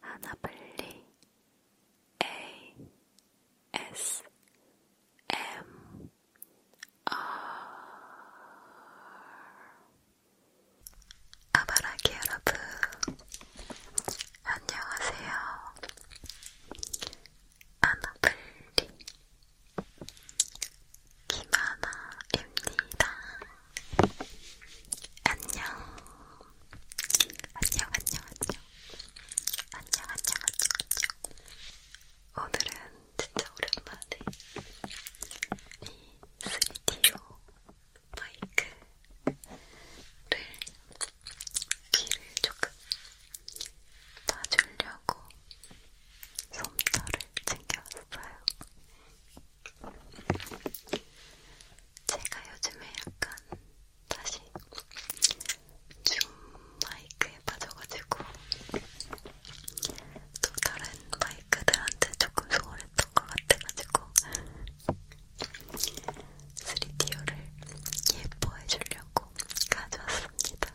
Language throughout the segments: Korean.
하나빨리 A S M R 아바라기 여러분 안녕하세요 하나빨리 김하나입니다. 안녕. 안녕, 안녕, 안녕. 안녕, 안녕, 안녕, 안녕. 오늘은 진짜 오랜만에 이 3DO 마이크를 귀를 조금 놔주려고 솜털을 챙겨왔어요. 제가 요즘에 약간 다시 줌 마이크에 빠져가지고 또 다른 마이크들한테 조금 소홀했던 것 같아가지고 3D어를 예뻐해 주려고 가져왔습니다.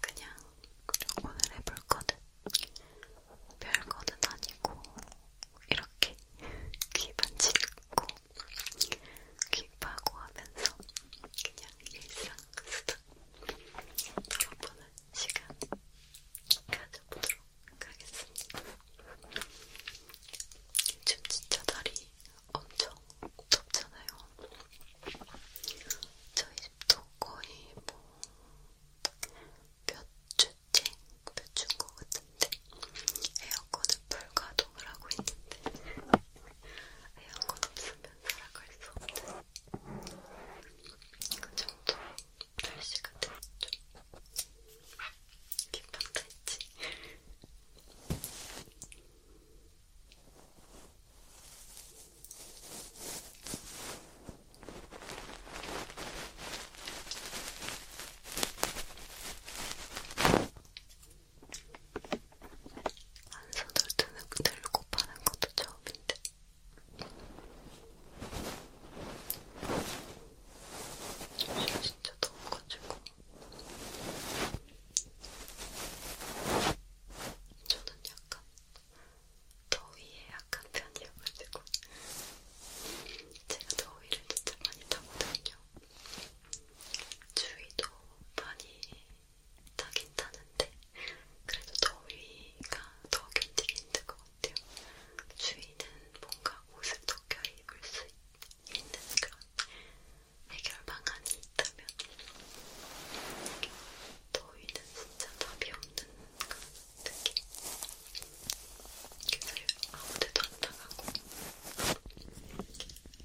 그냥, 그냥 오늘 해볼 거는 별 거는 아니고 이렇게 귀 만지고 귀 파고 하면서 그냥 일상 스타 몇번는 시간 가져보도록 하겠습니다. 요즘 진짜 다리 엄청 덥잖아요. 저희 집도 거의 뭐몇 주째, 몇 주인 것 같은데 에어컨을 불가동을 하고 있는데 에어컨 없으면 살아갈 수 없는 그 정도 날씨가 됐죠. 기판도 했지. 안선을 들고 그 파는 것도 처음인데. 진짜 더워가지고 저는 약간 더위에 약한 편이어가지고 제가 더위를 진짜 많이 타거든요. 추위도 많이 타긴 타는데 그래도 더위가 더 견디기 힘든 것 같아요. 추위는 뭔가 옷을 더 껴입을 수 있는 그런 해결 방안이 있다면 더위는 진짜 답이 없는 그런 느낌 그래서 아무데도 안 나가고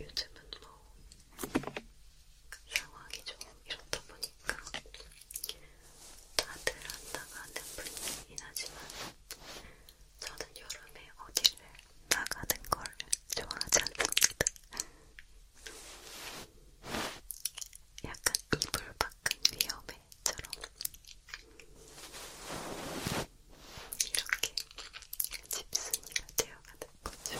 요즘은 뭐 상황이 좀 이렇다 보니까 다들 안 나가는 분위기긴 하지만 저는 여름에 어디를 나가는 걸 좋아하지 않습니다. 약간 이불 밖은 위험해처럼 이렇게 집순이가 되어가는 거죠.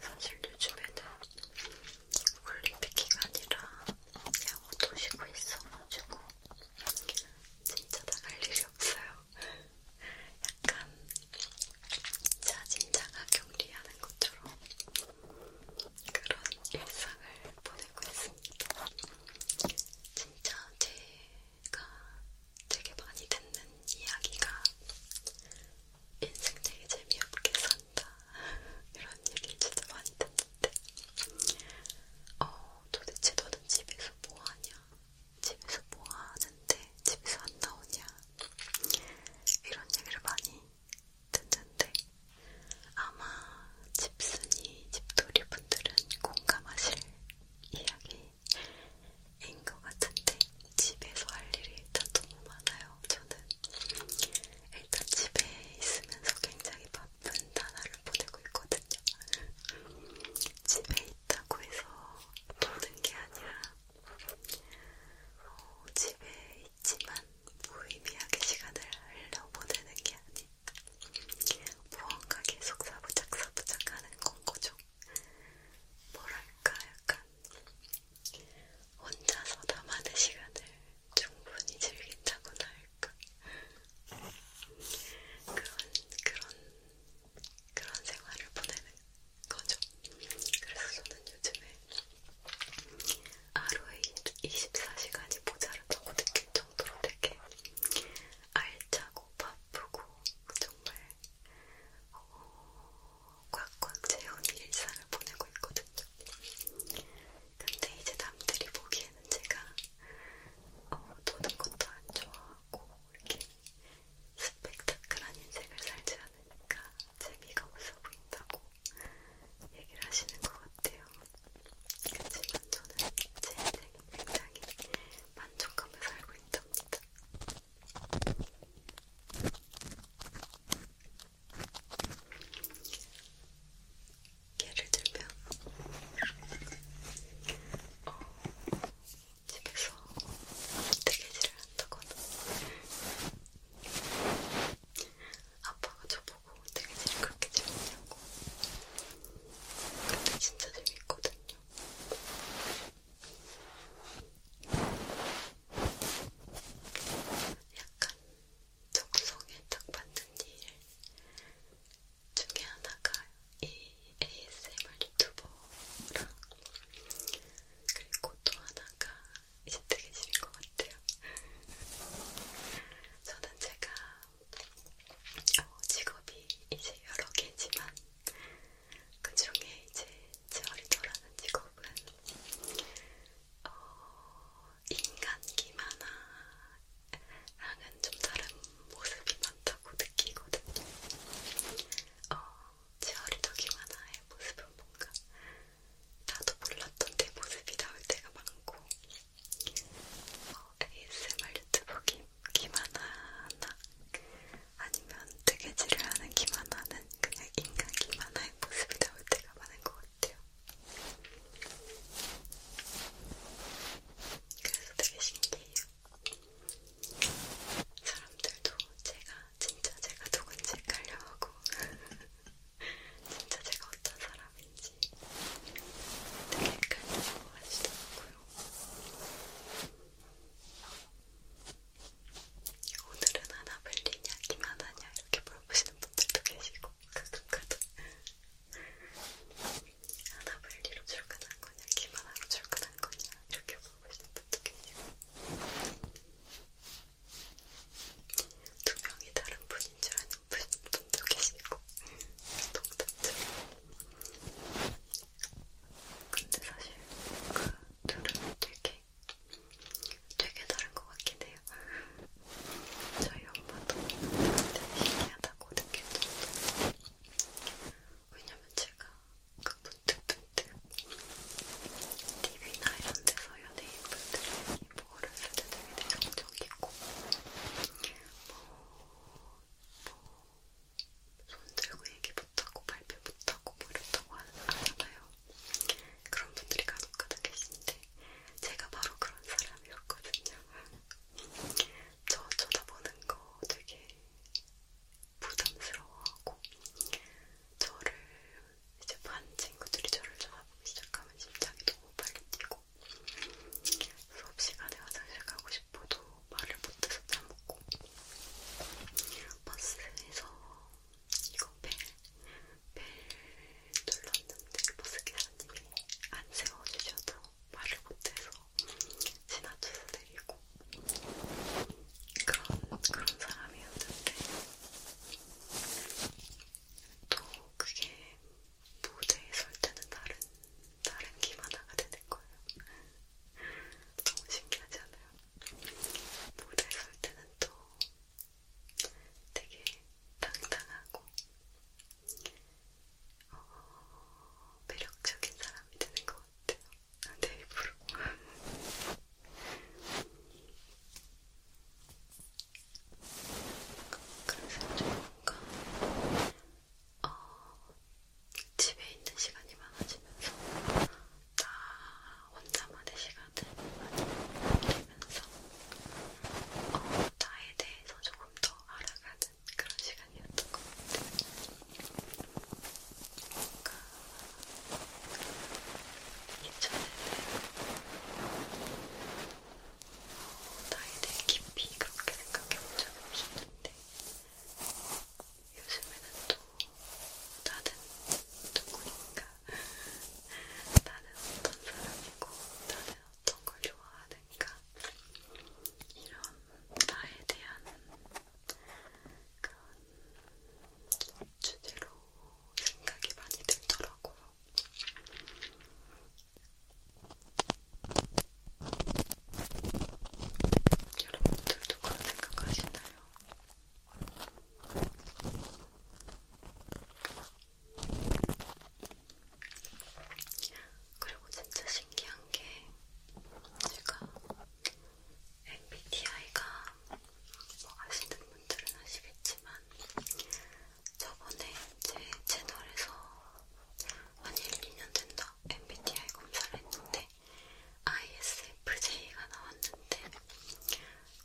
사실 요즘에는 올림픽 기간이라 야구도 쉬고 있어가지고 진짜 나갈 일이 없어요. 약간 자진자가 격리하는 것처럼 그런 일상을 보내고 있습니다. 진짜 제 제가 되게 많이 듣는 이야기가 인생 되게 재미없게 산다 이런 얘기 진짜 많이 듣는데 어 도대체 너는 집에서 뭐하냐 집에서 뭐하는데 집에서 안 나오냐 이런 얘기를 많이 듣는데 아마 집순이 집돌이 분들은 공감하실 이야기인 것 같은데 집에서 할 일이 일단 너무 많아요. 저는 일단 집에 있으면서 굉장히 바쁜 나날을 보내고 있거든요. 집에 있다고 해서 노는 게 아니라 어, 집에 있지만 무의미하게 시간을 흘려 보내는 게 아니라 무언가 계속 사부작사부작 하는 건 거죠. 뭐랄까 약간 혼자서 나만의 시간을 충분히 즐긴다고나 할까 그런 그런 그런 생활을 보내는 거죠. 그래서 저는 요즘에 하루에 24시간이 모자르다고 느낄 정도로 되게 알차고 너무 바쁘고 정말 어, 꽉꽉 채운 일상을 보내고 있거든요. 근데 이제 남들이 보기에는 제가 어, 노는 것도 안 좋아하고 이렇게 스펙타클한 인생을 살지 않으니까 재미가 없어 보인다고 얘기를 하시는 것 같아요. 그치만 저는 제 인생이 굉장히 만족감을 살고 있답니다. 예를 들면 어, 집에서 뜨개질을 한다거나 아빠가 저보고 뜨개질을 그렇게 재밌냐고 근데 진짜 재밌거든요. 약간 적성에 딱 맞는 일 중에 하나가 이 ASMR 유튜버랑 그리고 또 하나가 이제 뜨개질인 것 같아요. 저는 제가 어, 직업이 이제 여러 개지만 그 중에 이제 제 어리더라는 직업은 어, 인간기만화랑은 좀 다른 모습이 많다고 느끼거든요. 어, 제 어리더 기만화의 모습은 뭔가 나도 몰랐던 내 모습이 나올 때가 많고 어, ASMR 유튜버 김, 김하나나 아니면 뜨개질을 하는 김하나는 그냥 인간 김하나의 모습이 나올 때가 많은 것 같아요. 그래서 되게 신기해요. 사람들도 제가 진짜 제가 누군지 헷갈려하고 진짜 제가 어떤 사람인지 되게 헷갈려하고 하시더라고요. 오늘은 하나 빌리냐, 김하나냐 이렇게 물어보시는 분들도 계시고 가끔 가끔 하나 빌리로 출근한 거냐, 김하나로 출근한 거냐 이렇게 물어보시는 분도 계시고 두 명이 다른 분인 줄 아는 분도 계시고 음, 동답자 근데 사실 그 둘은 되게 되게 다른 것 같긴 해요. 저희 엄마도 되게 신기하다고 느꼈어요. 왜냐면 제가 그 문득문득 TV나 이런 데서 연예인분들이 뭐 어렸을 때 되게 내성적이고 뭐, 뭐손 들고 얘기 못하고 발표 못하고 뭐 이렇다고 하잖아요. 그런 분들이 간혹 가득 계신데 제가 바로 그런 사람이었거든요. 저 쳐다보는 거 되게 부담스러워하고 저를 이제 반 친구들이 저를 쳐다보기 시작하면 심장이 너무 빨리 뛰고 수업 시간에 화장실 가고 싶어도 말을 못해서 잘 먹고 버스에서 이거 벨, 벨 눌렀는데 그 버스 기사님이 안 세워주셔서 말을 못해서 지나쳐서 내리고 그런, 그런 사람이었는데 또 그게 무대에 설 때는 다른 다른 김 하나가 되는 거예요. 너무 신기하지 않아요? 모델 설 때는 또 되게 당당하고 어, 매력적인 사람이 되는 것 같아요. 내 입으로. 그래서 뭔가 어, 집에 있는 시간이 많아지면서 나 혼자만의 시간을 많이 느끼면서 어, 나에 대해서 조금 더 알아가는 그런 시간이었던 것 같아요. 뭔가 그 예전에는 어, 나에 대해 깊이 그렇게 생각해본 적이 없었는데 요즘에는 또 나는 누구인가 나는 어떤 사람이고 나는 어떤 걸 좋아하는가 이런 나에 대한 그런 주제로 생각이 많이 들더라고요. 여러분들도 그런 생각하시나요? 그리고 진짜 신기한 게 제가 MBTI가 뭐 아시는 분들은 아시겠지만 저번에 제 채널에서 한 1, 2년 된다 그래서 MBTI 검사를 했는데 ISFJ가 나왔는데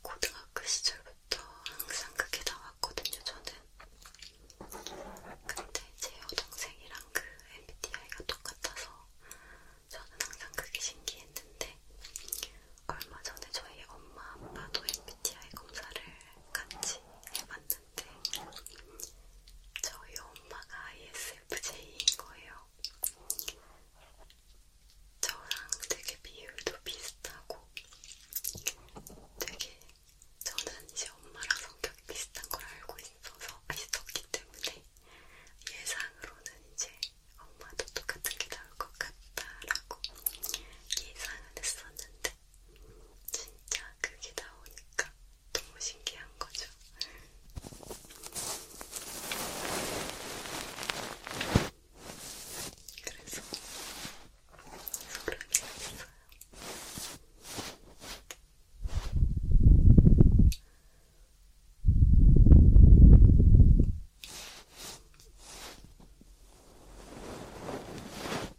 고등학교 시절부터 항상 그게 나왔거든요, 저는. 근데 제 여동생이랑 그 MBTI가 똑같아서 저는 항상 그게 신기했는데 얼마 전에 저희 엄마 아빠도 MBTI 검사를 같이 해봤는데 있을 네. 때 저희 엄마가 ISFJ인 거예요. 저랑 되게 비율도 비슷하고 되게 저는 이제 엄마랑 성격이 비슷한 걸 알고 있어서 있었기 때문에 예상으로는 이제 엄마도 똑같은 게 나올 것 같다라고 예상은 했었는데 진짜 그게 나오니까 너무 신기한 거죠. 그래서 소름이 났어요. 이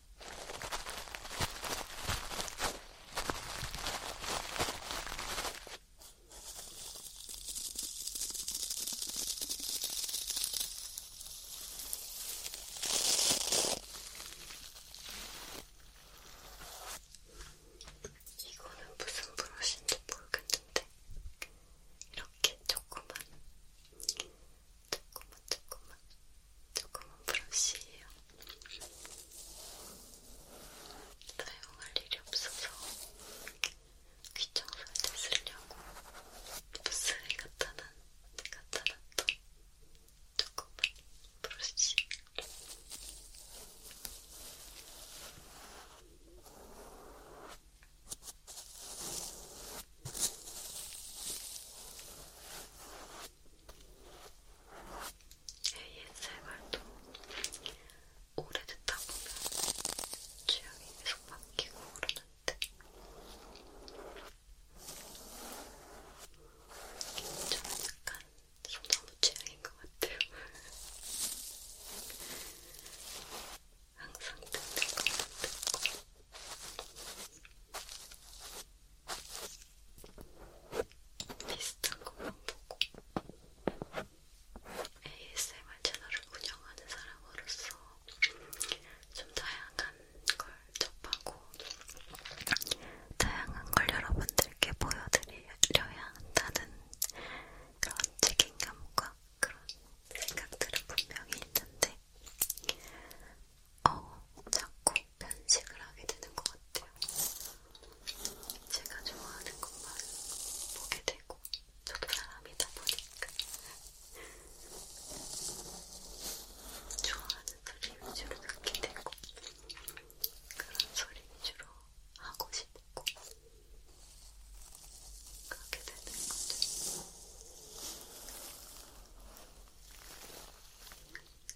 이거는 무슨 브러쉬인지 모르겠는데 이렇게 조그만 조그만 조그만 조그만 브러쉬예요. 사용할 일이 없어서 귀청소할 때 쓰려고 부스에 갖다 놨, 갖다 놨던 조그만 브러쉬. ASMR도 오래됐다 보면 취향이 계속 바뀌고 그러는데 저는 약간 소나무 취향인 것 같아요. 항상 듣는 것만 듣고 비슷한 것만 보고 ASMR 채널을 운영하는 사람으로서 좀 다양한 걸 접하고 다양한 걸 여러분들께 보여드려야 한다는 그런 책임감과 그런 생각들은 분명히 있는데 어, 자꾸 편식을 하게 되는 것 같아요. 제가 좋아하는 것만 보게 되고, 저도 사람이다 보니까. 좋아하는 소리 위주로 듣게 되고, 그런 소리 위주로 하고 싶고, 그렇게 되는 거죠.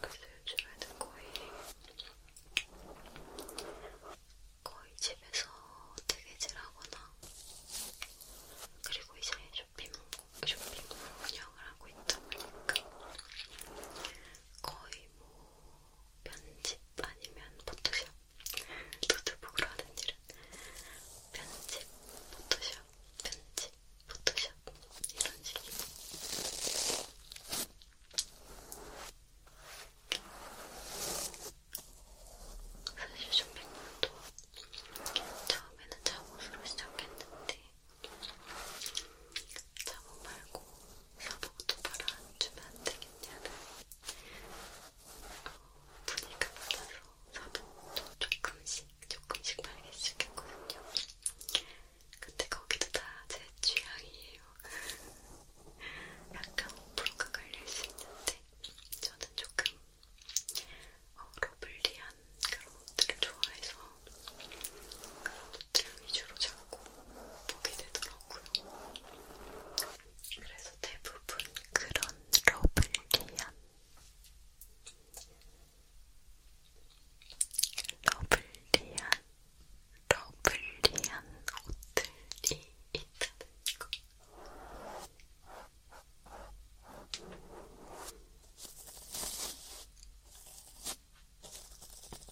그래서 요즘에는 거의 거의 집에서 뜨개질하거나 그리고 이제 쇼핑, 쇼핑몰 운영을 하고 있다 보니까 거의 뭐 편집 아니면 포토샵 노트북으로 하는 일은 편집, 포토샵, 편집, 포토샵 이런 식이 사실 쇼핑몰도 처음에는 잠옷으로 시작했는데 잠옷 말고 여보도 바라주면 안 되겠냐는 어, 분위기가 많아서 사복도 조금씩 조금씩 바르기 시작했거든요. 근데 거기도 다 제 취향이에요. 약간 5%가 걸릴 수 있는데 저는 조금 어, 러블리한 그런 옷들을 좋아해서 그런 옷들 위주로 자꾸 보게 되더라고요. 그래서 대부분 그런 러블리한 러블리한 러블리한 옷들이 있다는 거.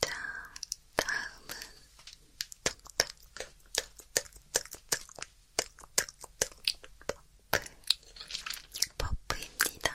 자, 다음은 톡톡톡톡톡톡톡톡톡 버프 버프입니다.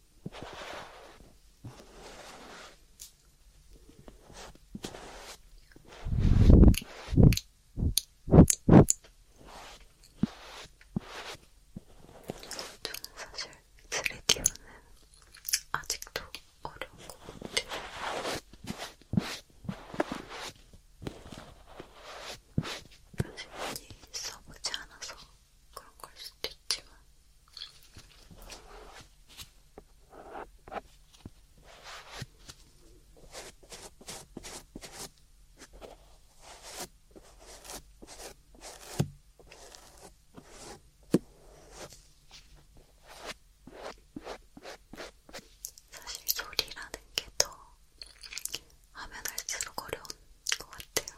저는 사실 3D로는 아직도 어려운 것 같아요. 사실 많이 써보지 않아서 그런 걸 수도 있지만 사실 소리라는 게 더 하면 할수록 어려운 것 같아요.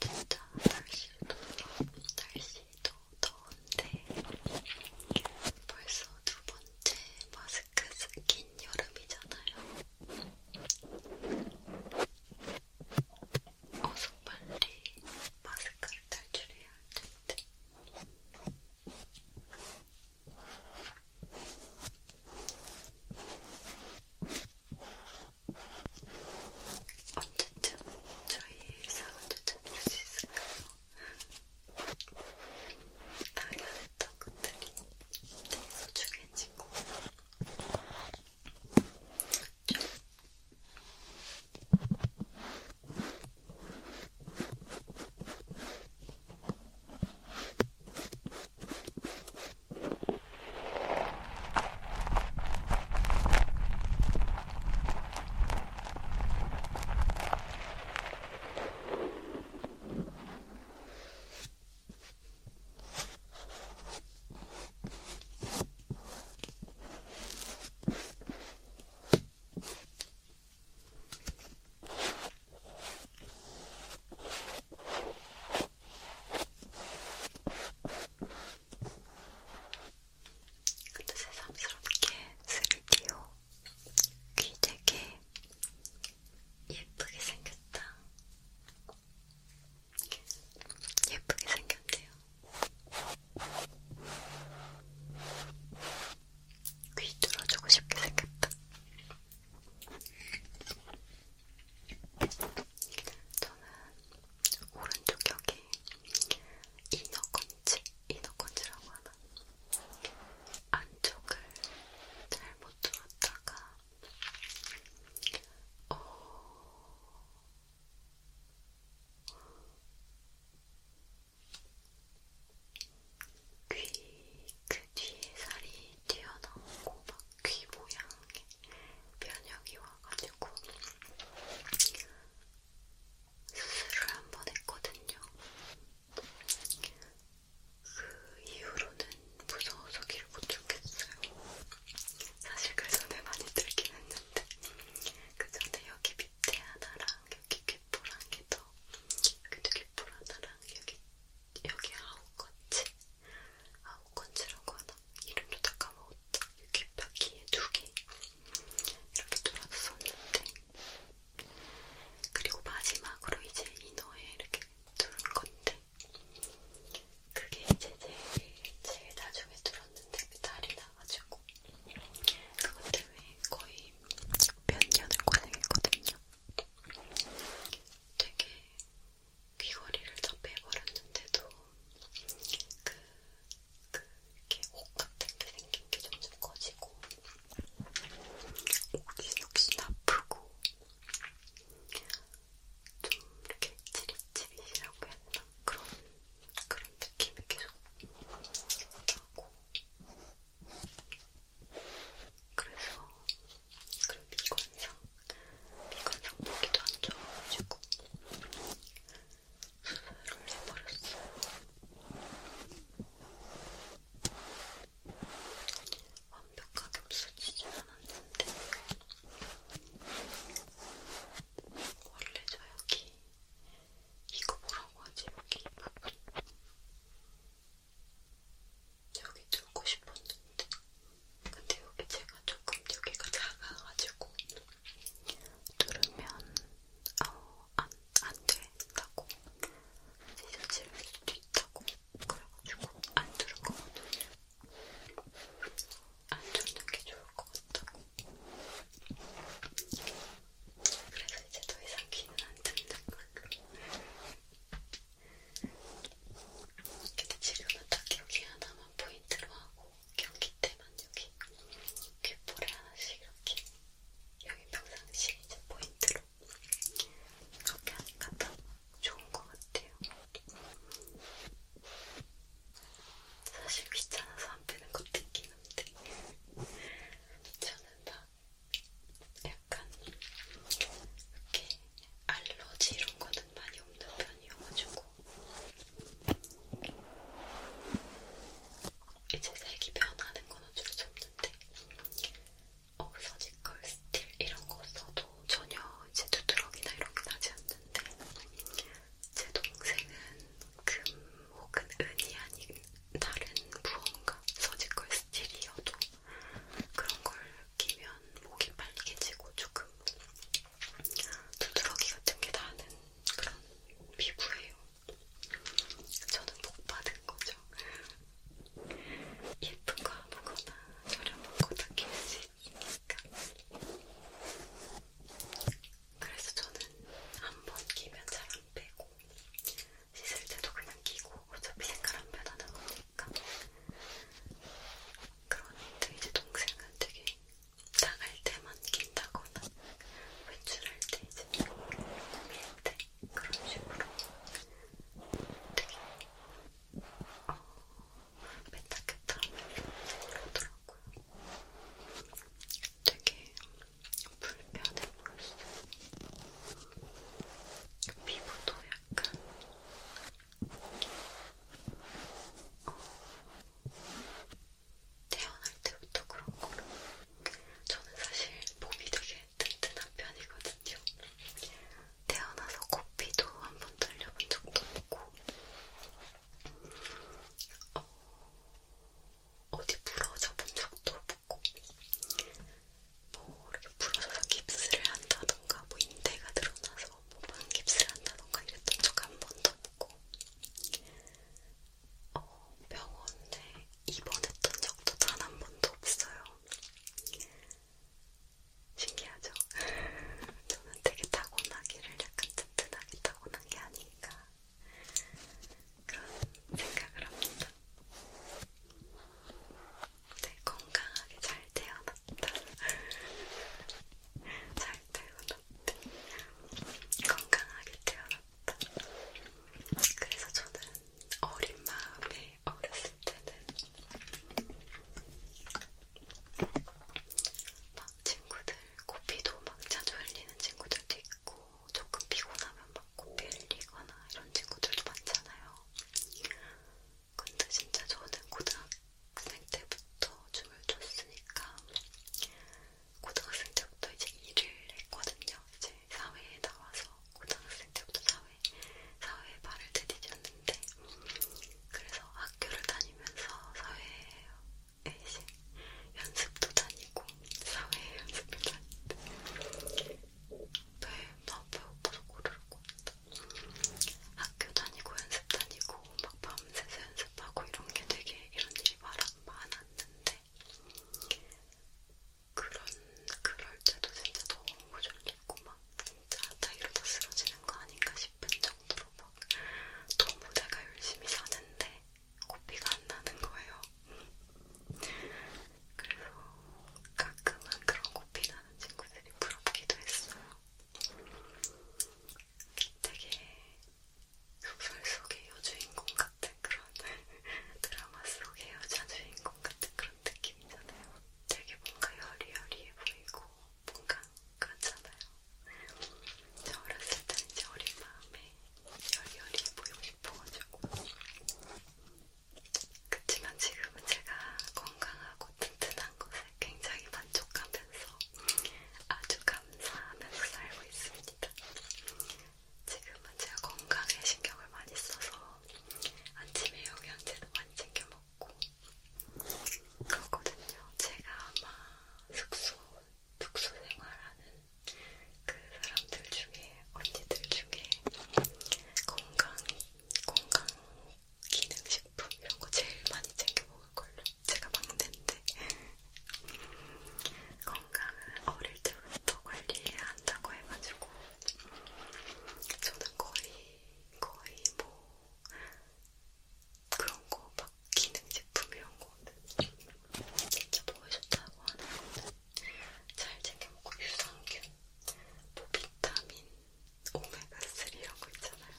진짜 날씨도 날씨도 더운데 벌써 두 번째 마스크 마스크 긴 여름이잖아요. 어서 빨리 마스크를 탈출해야 할 텐데. 언제쯤 저희 일상을 되찾을 수 있을까요? 당연했던 것들이 되게 소중해지고 좀 근데 새삼스럽게 3D로 귀 되게 예쁘게 생겼다. 예쁘게 생겼네요. 귀 뚫어주고 싶게 생겼다. 저는 오른쪽 여기 이너 건지 이너컨치라고 하나? 안쪽을 잘못 들었다가 어... 귀그 뒤에 살이 튀어나오고 막 귀 모양에 변형이 와가지고 수술을 한 번 했거든요. 그 이후로는 무서워서 길못 죽겠어요. 사실 그 전에 많이 들긴 했는데 그 전에 여기 밑에 하나랑 여기 귓볼 한개더 여기도 귓볼 하나랑 여기 여기 아홉건치 아홉건치라고 하나 이름도 다 까먹었다 여기 바퀴에 두 개 이렇게 돌아서 썼는데 그리고 마지막으로 이제 이너에 이렇게 두른 건데 그게 이제 제일, 제일 나중에 들었는데 그 달이 나가지고 그것 때문에 거의 몇 년을 고생했거든요. 되게 귀걸이를 다 빼버렸는데도 그, 그 이렇게 옷 같은 게 생긴 게 점점 커지고 목이 역시나 아프고 좀 이렇게 찌릿찌릿이라고 해야 되나? 그런, 그런 느낌이 계속 나고 그래서 그리고 미관상 미관상 보기도 안 좋아가지고 수술을 해버렸어요. 완벽하게 없어지진 않았는데 원래 저 여기 이거 뭐라고 하지? 여기 부분 여기 뚫고 싶었는데 근데 여기 제가 조금 여기가 작아가지고 뚫으면 아우 어, 안, 안 된다고 잊어질 수도 있다고 그래가지고 안 들을 거거든요. 안 듣는 게 좋을 것 같다고. 그래서 이제 더 이상 귀는 안 듣는 걸로. 근데 지금은 딱 여기 하나만 포인트로 하고 경기 때만 여기 귓볼에 하나씩 이렇게 여기 평상시 이제 포인트로 그렇게 하니까 더 좋은 것 같아요. 사실 귀찮아서 안 빼는 것도 있긴 한데 저는 막 약간 이렇게 알러지 이런 거는 많이 없는 편이어가지고 이제 색이 변하는 건 어쩔 수 없는데 어, 서지컬 스틸 이런 거 써도 전혀 이제 두드러기나 이런 게 나지 않는데 제 동생은 금 혹은 은이 아닌 다른 무언가 서지컬 스틸이어도 그런 걸 끼면 목이 빨개지고 조금 두드러기 같은 게 나는 그런 피부예요. 저는 복 받은 거죠. 예쁜 거 아무거나 저렴하고 다낄수 있으니까. 그래서 저는 한 번 끼면 잘 안 빼고 씻을 때도 그냥 끼고 어차피 색깔 안 변하는 거니까. 그런데 이제 동생은 되게 나갈 때만 낀다거나 외출할 때 이제 고민할 때 그런 식으로 되게 어, 메타케타라는 생각더라고요. 되게 불편해 보였어요. 피부도 약간 어, 태어날 때부터 그런 거로 저는 사실 몸이 되게 튼튼한 편이거든요. 태어나서 코피도 한번 들려본 적도 없고 어, 어디 부러져 본 적도 없고 뭐 이렇게 부러져서 깁스를 한다던가 뭐 인대가 늘어나서 뭐 반깁스를 한다던가 이랬던 적 한 번도 없고 어, 병원에 입원했던 적도 단 한 번도 없어요. 신기하죠? 저는 되게 타고나기를 약간 튼튼하게 타고난 게 아닌가 그런 생각을 합니다. 네, 건강하게 잘 태어났다. 잘 태어났다. 건강하게 태어났다. 그래서 저는 어린 마음에 어렸을 때는 막 친구들 코피도 막 자주 흘리는 친구들도 있고 조금 피곤하면 막 코피 흘리거나 이런 친구들도 많잖아요. 근데 진짜 저는 고등학생 때부터 춤을 췄으니까 고등학생 때부터 이제 일을 했거든요. 이제 이제 사회에 나와서 고등학생 때부터 사회, 사회에 발을 들이셨는데 그래서 학교를 다니면서 사회에 이제 연습도 다니고 사회에 연습도 다니는데 배나 네, 배고파서 고르를 꽂다 학교 다니고 연습 다니고 막 밤새서 연습하고 이런 게 되게 이런 일이 많았는데 그런 그럴 때도 진짜 너무 졸리고 막 진짜 다 이러다 쓰러지는 거 아닌가 싶은 정도로 막 너무 내가 열심히 사는데 고삐가 안 나는 거예요. 그래서 가끔은 그런 고삐 나는 친구들이 부럽기도 했어요. 되게 소설 속의 여주인공 같은 그런 드라마 속의 여자 주인공 같은 그런 느낌이잖아요. 되게 뭔가 여리여리해 보이고 뭔가 그렇잖아요. 저 어렸을 때는 이제 어린 마음에 여리여리해 보이고 싶어가지고 그치만 지금은 제가 건강하고 튼튼한 것에 굉장히 만족하면서 아주 감사하면서 살고 있습니다. 지금은 제가 건강에 신경을 많이 써서 아침에 영양제도 많이 챙겨 먹고 그러거든요. 제가 아마 숙소, 숙소 생활하는 그 사람들 중에, 언니들 중에 건강, 건강 기능식품 이런 거 제일 많이 챙겨 먹을걸요. 제가 막내인데. 건강은 어릴 때부터 관리해야 한다고 해가지고 저는 거의, 거의 뭐, 그런 거, 막, 기능 제품 이런 거는 진짜 몸에 좋다고 하는 거는 잘 챙겨먹고, 유산균, 뭐, 비타민, 오메가3 이런 거 있잖아요.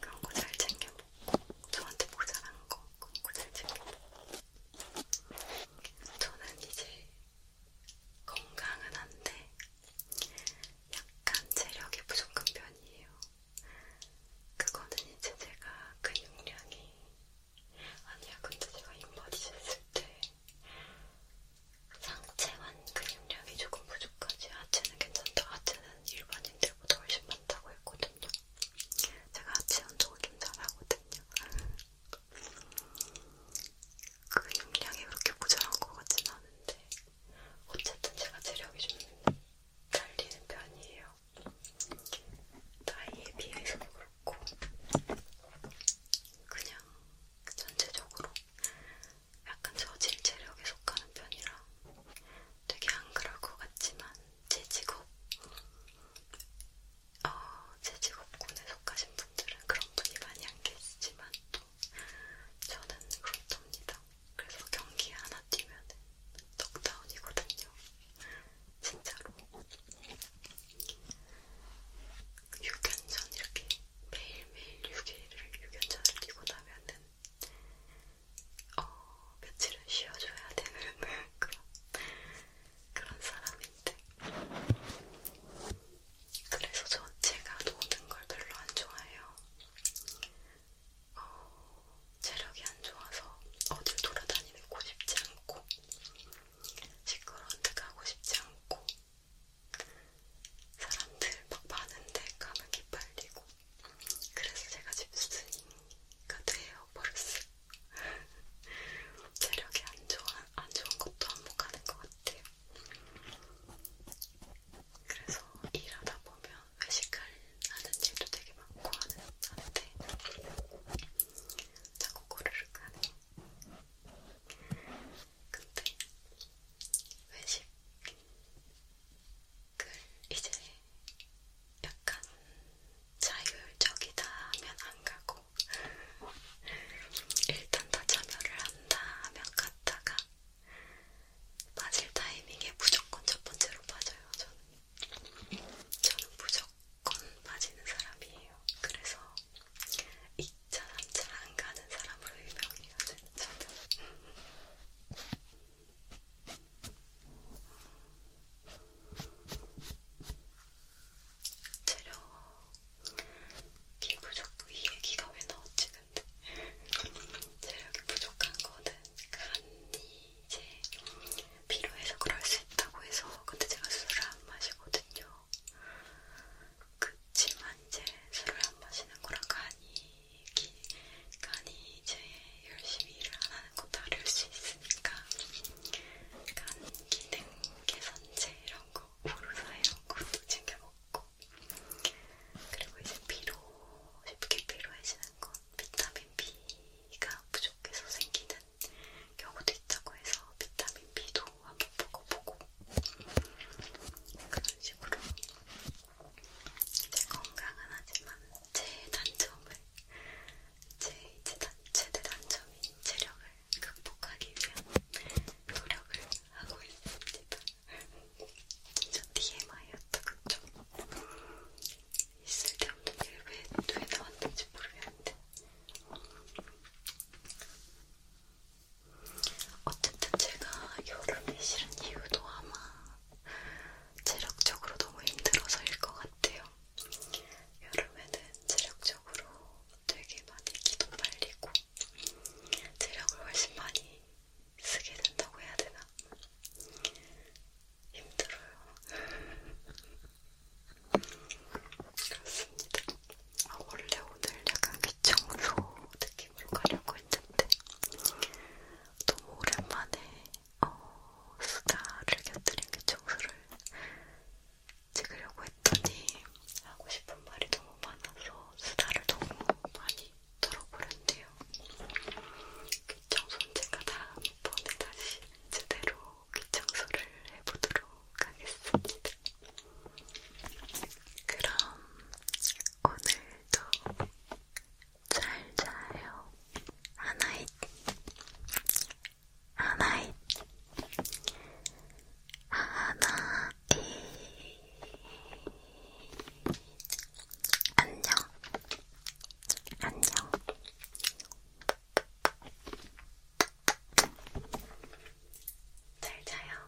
그런 거 잘 챙겨먹고, 저한테 모자란 거, 그런 거잘 챙겨먹고. 저는 이제 건강은 한데 약간 체력이 부족한 편이에요. 그거는 이제 제가 근육량이 그 아니야 근데 제가 인바디즈 했을 때 상체만 근육량이 그 조금 부족하지 하체는 괜찮다. 하체는 일반인들보다 훨씬 많다고 했거든요. 제가 하체 운동을 좀 잘하거든요. 그 용량이 그렇게 모자란 것 같진 않은데 어쨌든 제가 체력이 좀 달리는 편이에요. 나이에 비해서도 그렇고 그냥 전체적으로 약간 저질 체력에 속하는 편이라 되게 안 그럴 것 같지만 제 직업 어, 아, 제 직업군에 속하신 분들은 그런 분이 많이 안 계시지만 또 저는 그렇답니다. 그래서 경기 하나 뛰면 덕다운이거든요. 진짜로. 유견전 이렇게 매일매일 6일을 유견전을 뛰고 나면은 어, 며칠은 쉬어줘야 되는 그런 그런 사람인데 그래서 전 제가 노는 걸 별로 안 좋아해요. 어, 체력이 안 좋아서 어딜 돌아다니고 싶지 않고 시끄러운 데 가고 싶지 않고 사람들 막 많은데 가면 기빨리고 그래서 제가 집순이가 돼요 버릇을 체력이 안, 좋아, 안 좋은 것도 반복하는 것 같아요. 그래서 일하다 보면 외식을 하는 일도 되게 많고 하는, 하는데 자꾸 고르륵 하네. 근데 외식을 이제 약간 자율적이다 하면 안 가고 하고 일단 다 참여를 한다 하면 갔다가 빠질 타이밍에 무조건 첫 번째로 빠져요. 저는 저는 무조건 빠지는 사람이에요. 그래서 2차, 3차 안 가는 사람으로 유명해요. 저는. 재료 기 부족 이 얘기가 왜 나왔지 근데 재력이 부족한 거는 간이 이제 필요해서 그럴 수 있다고 해서 근데 제가 술을 안 마시거든요. 그치만 이제 술을 안 마시는 거랑 간이 기, 간이 이제 열심히 일을 안 하는 거 다를 수 있으니까 간 기능 계산제 이런 거, 오로사 이런 것도 챙겨 먹고 그리고 이제 피로, 쉽게 피로해지는 건 비타민 B가 부족해서 생기는 경우도 있다고 해서 비타민 B도 한번 먹어보고 그런 식으로 제 건강은 하지만 제 단점을 제, 제, 단, 제 단점인 체력을 극복하기 위한 노력을 하고 있습니다. 저 TMI였다그죠? 있을 때 없는 일왜 왜 나왔는지 모르겠는데 어쨌든 제가 여름이 싫은 이유도 아마 체력적으로 너무 힘들어서일 것 같아요. 여름에는 체력적으로 되게 많이 기도 빨리고 체력을 훨씬 많이 쓰게 된다고 해야 되나? 힘들어요. 그렇습니다. 아, 원래 오늘 약간 귀청소 느낌으로 가려고 했는데 너무 오랜만에 어, 수다를 곁들인 귀청소를 찍으려고 했더니 하고 싶은 말이 너무 많아서 수다를 너무 많이 들어버렸네요. 귀청소는 제가 다음번에 다시 제대로 귀청소를 해보도록 하겠습니다. 그럼 오늘도 잘 자요. 하나잇. 아, 하나의 하나의 안녕 안녕 잘 자요.